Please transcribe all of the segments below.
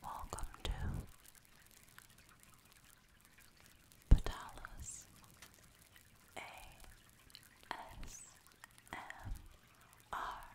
Welcome to Patalas ASMR. Welcome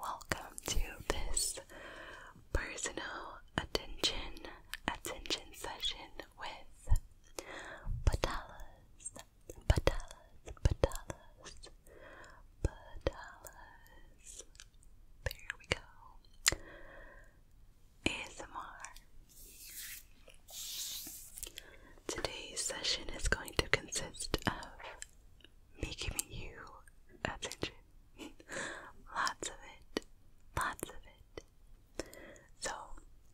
Welcome to this personal attention attention session with Patalas, Patalas, Patalas, Patalas. There we go. ASMR. Today's session is going to consist of me giving you attention. lots of it. Lots of it. So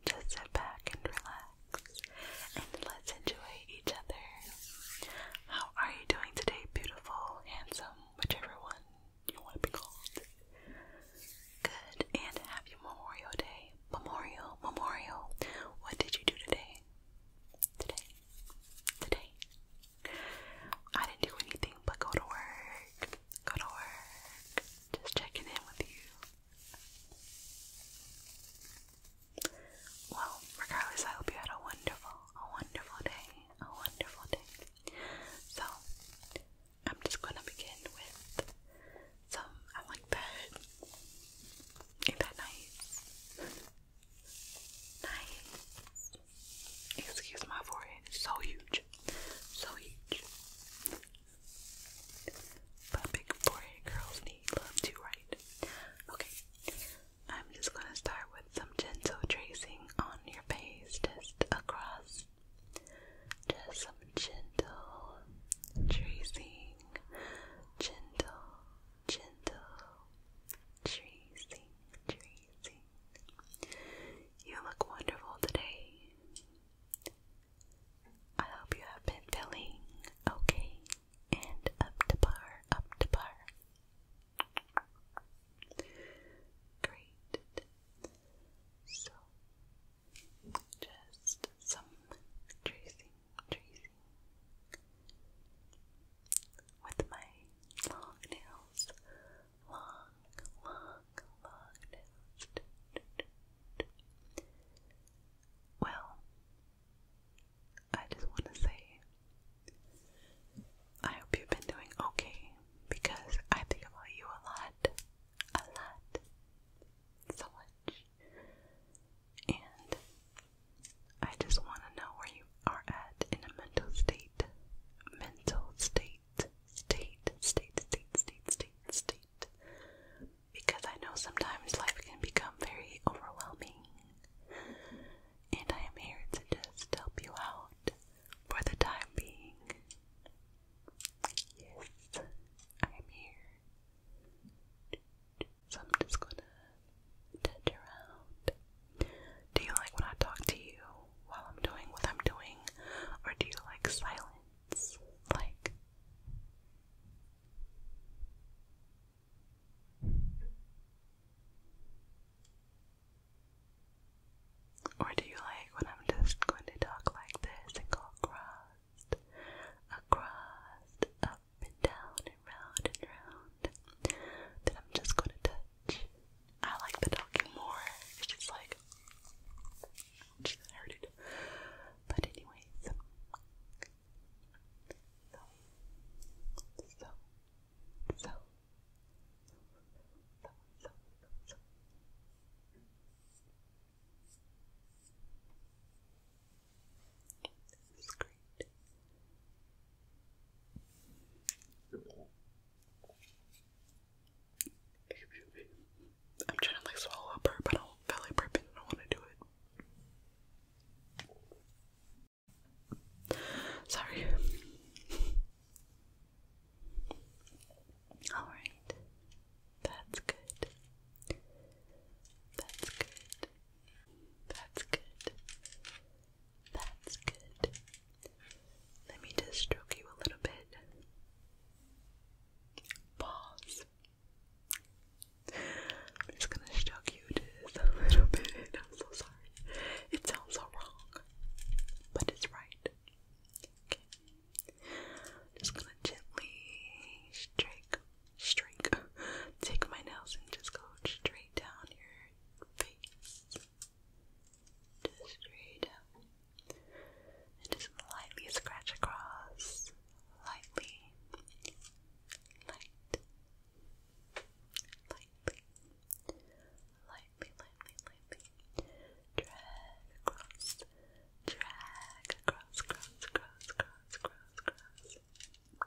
just sit back and relax and let's enjoy each other. How are you doing today, beautiful, handsome, whichever one you want to be called? Good and happy Memorial Day. Memorial, Memorial. What did you do today? Today, today, I didn't do anything but go to work. Go to work. Just checking in with you. Well, regardless, I hope you had a wonderful, a wonderful day. A wonderful day. So, I'm just gonna begin with some. I like that. Ain't that nice? Nice. Excuse my forehead, so huge. So huge. But big forehead girls need love too, right? Okay, I'm just gonna start with some gentle tracing on your face, just across. Just some gentle tracing, gentle, gentle tracing, tracing. You look wonderful today. I hope you have been feeling okay and up to par, up to par. Great. So, just some tracing, tracing with my long nails. Long, long, long nails. Well, I just want to say I hope you've been doing okay because I think about you a lot. A lot. So much. And I just want to know where you are at in a mental state. Mental state, state, state, state, state, state, state. Because I know sometimes life can become very overwhelming. And I am here to just help you out for the time being. Yes, I am here. So I'm just gonna touch around. Do you like when I talk to you while I'm doing what I'm doing? Or do you like silence? Like. Or do you like when I'm just going to talk like this and go across, across, up and down and round and round. Then I'm just gonna touch. I like the talking more. It's just like just heard it. But anyways. So so so so so Screen. Screen. Screen. I'm trying to like swallow up burp, but I don't feel like burping. I don't want to do it. Sorry. All right. That's good. That's good. That's good. That's good. Let me just stroke you a little bit. Pause. I'm just gonna stroke you a little bit. I'm so sorry. It sounds so wrong, but it's right. just gonna gently strike, strike, take my nails and just go straight down your face. straight And just lightly scratch across. Lightly. Light. Lightly. Lightly, lightly, lightly. Drag across. Drag across, cross, cross, cross, cross, cross.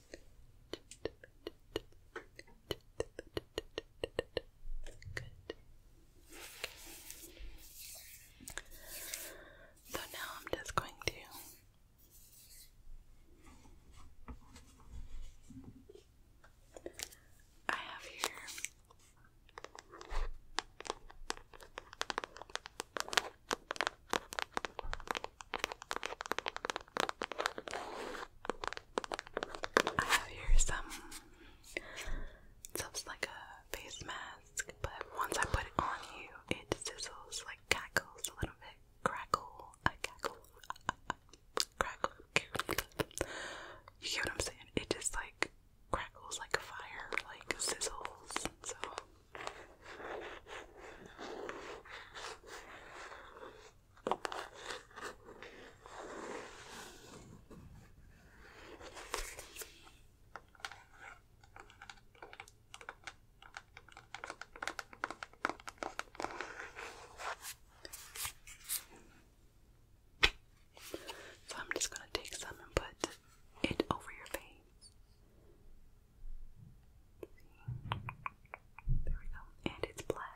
Good. So now I'm just going to I have here I have here some stuff's like a face mask, but once I put it on you, it sizzles like cackles a little bit. Crackle, a cackle, crackle. You get what I'm saying? It just like crackles like a fire, like sizzles. So. So I'm just going to take some and put it over your face. There we go. And it's black.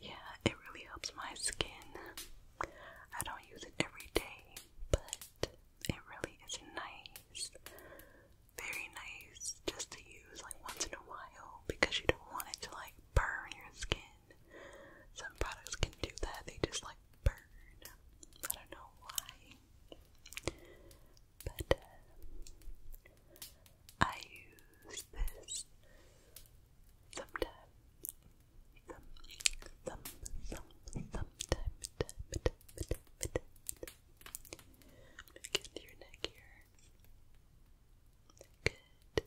Yeah, it really helps my skin. I don't use it every day, but it really is nice. Very nice just to use like once in a while because you don't want it to like burn your skin. Some products can do that, they just like burn. I don't know why. But uh, I use this sometimes. Some, some, some, sometimes. Time, time, time, time, time. Get to your neck here. Good. Good.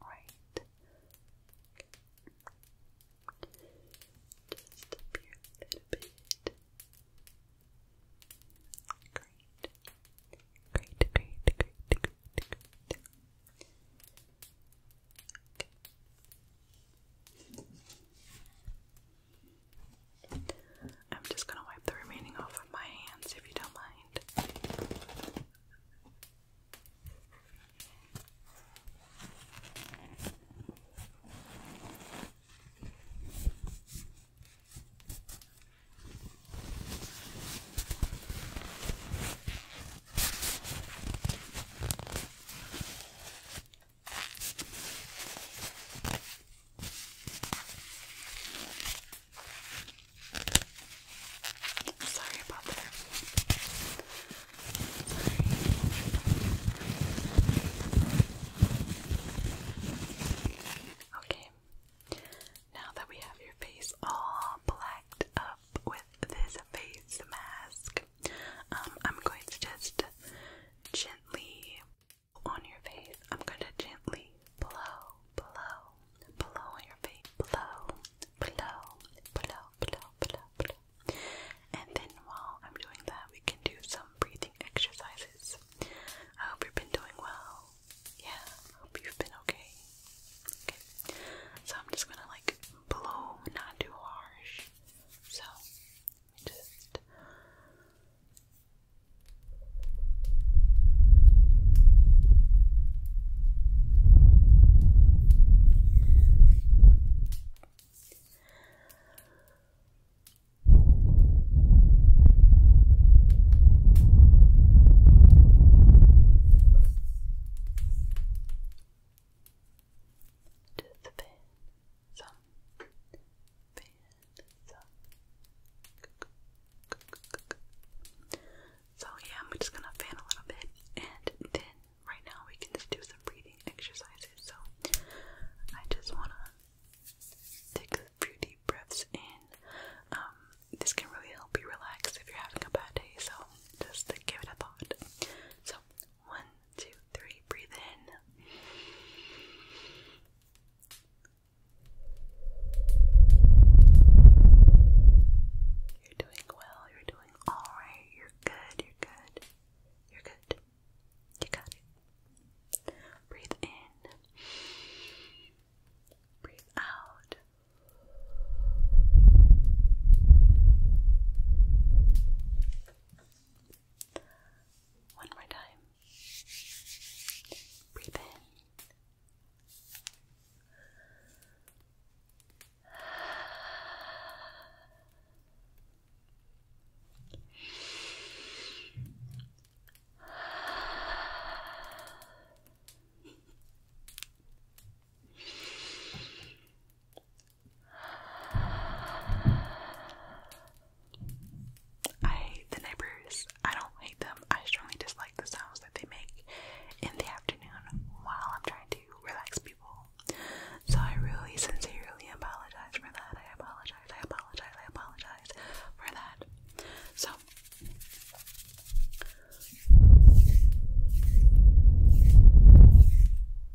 Right. Just up here a little bit. Great. Great, great, great, great, great. Okay. I'm just going to wipe the remaining off of my hands if you don't mind. Sorry about that. Okay. Now that we have your face all blacked up with this face mask, um, I'm going to just gently on your face. I'm going to gently blow, blow, blow on your face. Blow, blow, blow, blow, blow, blow. And then while I'm doing that, we can do some breathing exercises. I hope you've been doing well. Yeah, I hope you've been okay. Okay. So I'm just gonna like blow, not too harsh. So, just. So yeah, I'm just gonna fan a little bit, and then right now we can just do some breathing exercises. So I just wanna take a few deep breaths in. Um, this can really help you relax if you're having a bad day. So just give it a thought. So one, two, three. Breathe in. You're doing well. You're doing all right. You're good. You're good. You're good. You got it. Breathe in. Breathe out. One more time. Breathe in. I hate the neighbors. I don't hate them. I strongly dislike the sounds that they make in the afternoon while I'm trying to relax people. So I really sincerely apologize for that. I apologize. I apologize. I apologize for that. So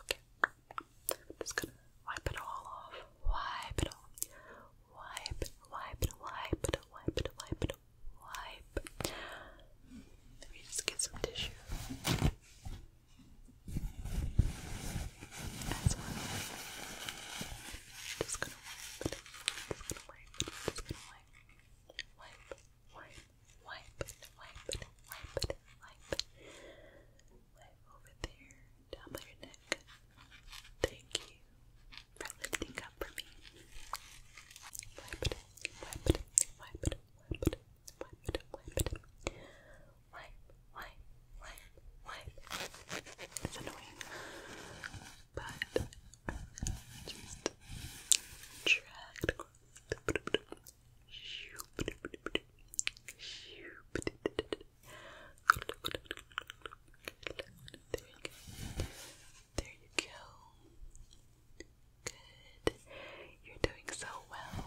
Okay. I'm just gonna wipe it all off. Wipe it off. Wipe, wipe, wipe, wipe, wipe, wipe, wipe. Let me just get some tissue. As well. Just gonna wipe it. Just gonna wipe it. Just gonna wipe. Wipe, wipe, wipe wipe wipe wipe Wipe over there, down by your neck. Thank you for lifting up for me. Wipe wipe wipe wipe wipe wipe Wipe, wipe, wipe, wipe. It's annoying. But just there you go. Good. You're doing so well.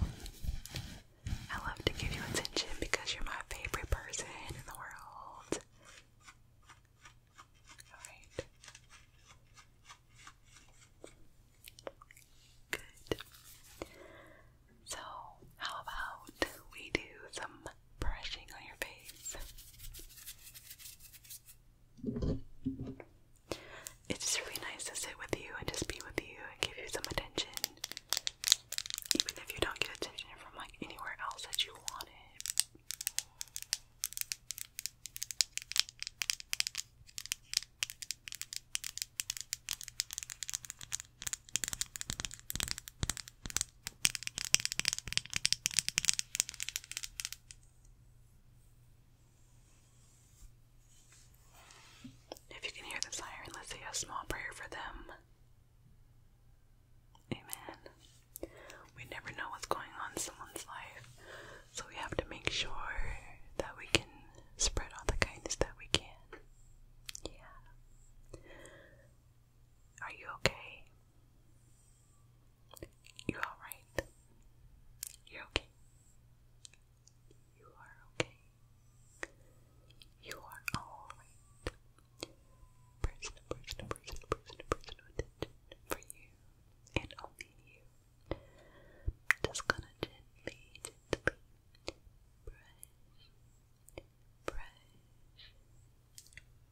I love to give you attention because you're my favorite person in the world. Alright. Good. So, how about we do some brushing on your face? It's just really nice to sit with you and just be with you and give you some attention. Even if you don't get attention from like anywhere else that you want it. If you can hear the siren, let's say a small prayer for them. Amen. We never know what's going on someone's life. So we have to make sure that we can spread all the kindness that we can. Yeah. Are you okay? You alright? You're okay. You are okay. You are alright. Personal, personal, personal, personal, personal attention for you and only you. I'm just gonna gently, brush, brush,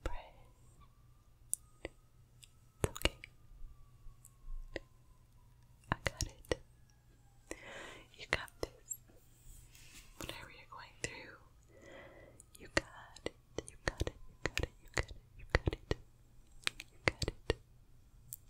brush. It's okay. I got it. You got this. Whatever you're going through, You got it. You got it. You got it. You got it. You got it. You got it.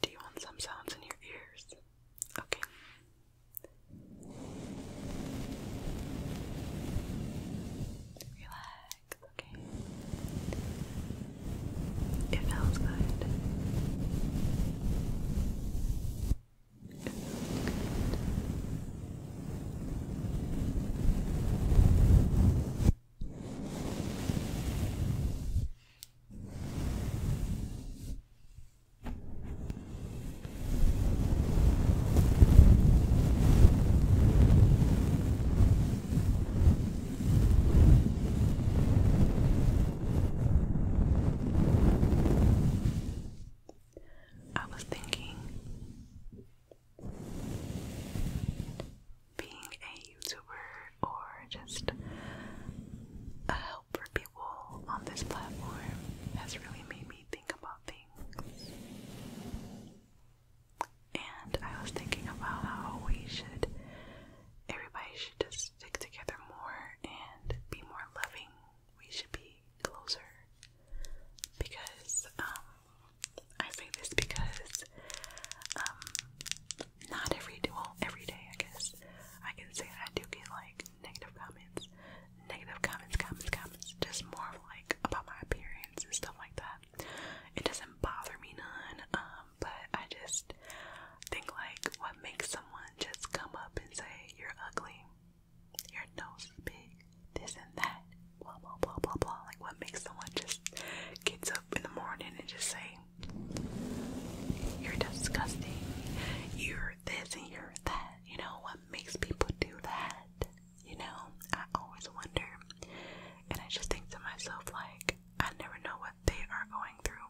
Do you want some sounds in your ears? Okay. Relax, okay. It feels good. I was thinking being a YouTuber or just a help for people on this platform has really made me think about things. And I was thinking about how we should, everybody should just stick together more and be more loving. We should be closer because um, I say this because um, not every day I guess I can say I do get like negative comments negative comments comments comments just more of like about my appearance and stuff like that it doesn't bother me none um, but I just think like what makes someone just come up and say you're ugly your nose big, this and that, blah blah blah blah blah. Like what makes someone just gets up in the morning and just say, You're disgusting, you're this and you're that, you know, what makes people do that? You know, I always wonder and I just think to myself like I never know what they are going through.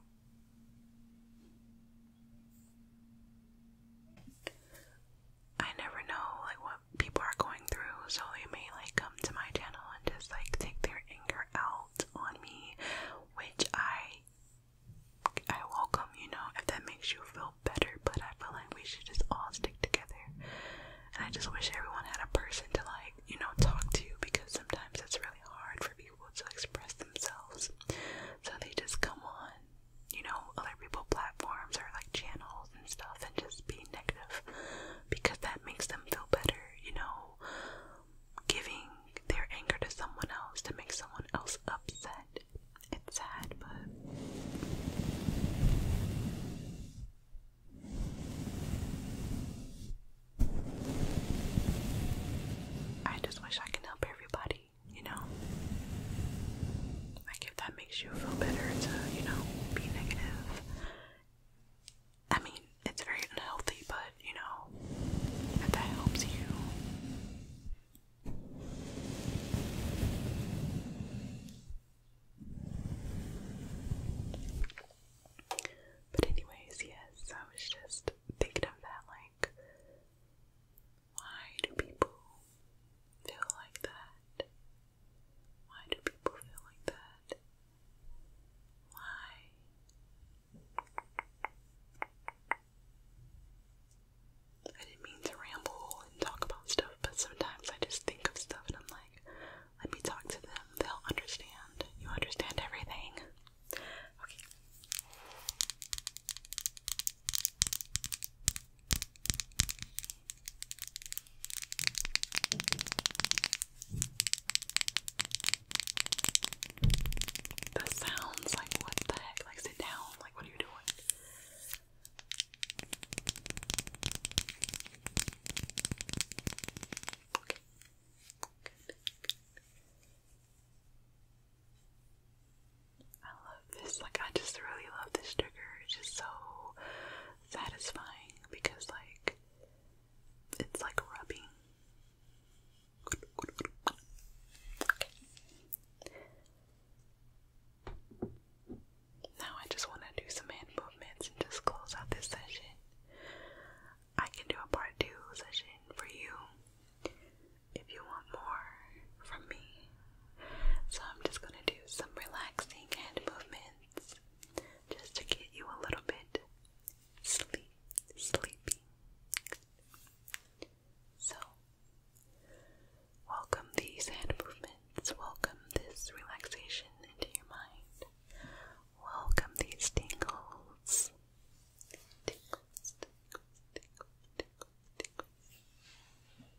I never know like what people are going through, so they may like come to my channel and just like take their anger out on me, which I I welcome, you know, if that makes you feel better, but I feel like we should just all stick together. And I just wish everyone had a person to like, you know, talk to because sometimes it's really hard for people to express themselves. So they just come on you know, other people's platforms or like channels and stuff and just be negative because that makes them feel better, you know, giving their anger to someone else to make someone else upset. It's sad, but. I just wish I could help everybody you know? Like, if that makes you feel better to, you know, be negative. I mean, it's very unhealthy, but, you know, if that helps you. But anyways, yes, I was just thinking of like, why do people feel like that? Why do people feel like that? Why? I didn't mean to ramble and talk about stuff, but sometimes I just think of stuff and I'm like, let me talk to them. They'll understand. You understand everything. Okay. That sounds like what the heck? Like, sit down. Like, what are you doing? Okay. I love this. Like, I just really love this trigger. It's just so satisfying because, like, it's like rubbing. Okay. Now, I just want to do some hand movements and just close out this session. I can do a part two session for you if you want more from me. So I'm just going to do some relaxing hand movements just to get you a little bit sleep, sleepy. So, welcome these hand movements, welcome this relaxation into your mind, welcome these tingles. Tingles, tingles, tingles, tingles, tingles.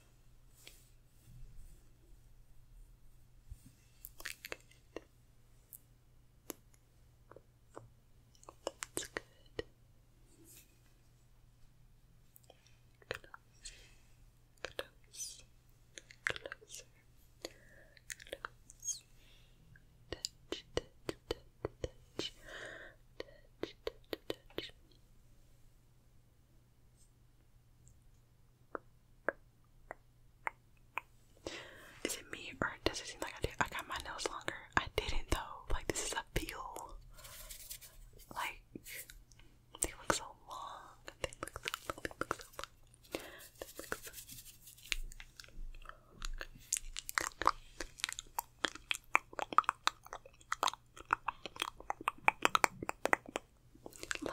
Good. That's good. Close, close, closer, Touch, touch, touch, touch, touch, touch, touch. Is it me or does it seem like I did? I got my nails longer. I didn't though. Like this is a peel. Like they look so long. They look so long. They look so long. They look so long long.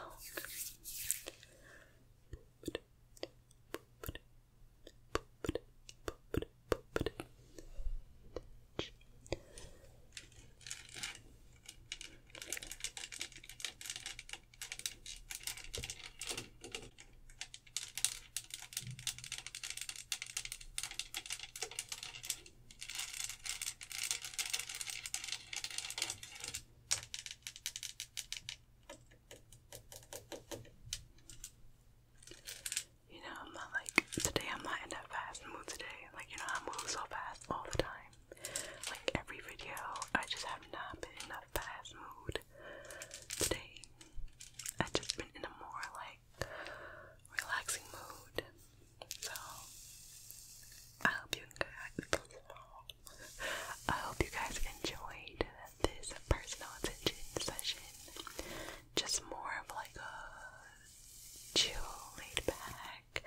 Good. You know, I'm not like today. I'm not in that fast mood today. Like you know, I move so fast all the time. Like every video, I just have not been in that fast mood today. i just been in a more like relaxing mood. So I hope you guys I hope you guys enjoyed this personal attention session. Just more of like a chill laid back.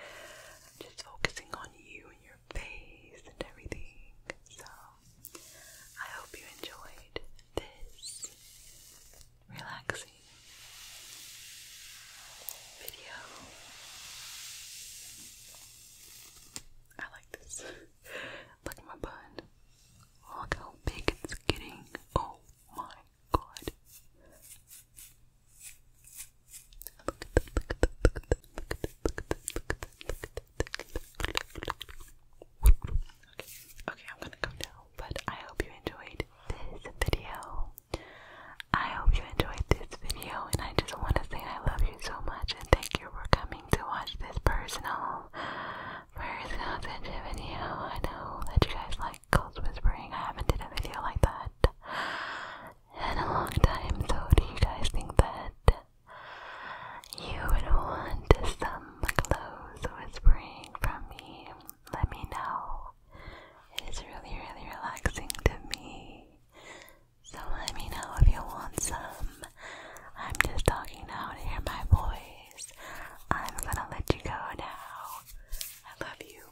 Just focusing on you and your face and everything. So I hope you enjoyed this relaxing video. I like this. Look at my bun. Look how big it's getting. Oh my god. look at that, look at that, look at that, look at that, look at that, look at that, look at that. Okay, okay, I'm gonna go now, but I hope you enjoyed this video. I hope you enjoyed this video and I just want to say I love you so much and thank you for coming to watch this personal personal attention video. I know that you guys like ghost whispering. I haven't did a video like that in a long time, so do you guys think that you would want some close whispering from me? let me know. It is really, really relaxing to me. So let me know if you want some. I'm just talking now to hear my voice. I'm gonna let you go now. I love you.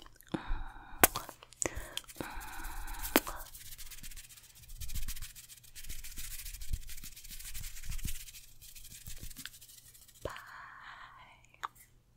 Bye.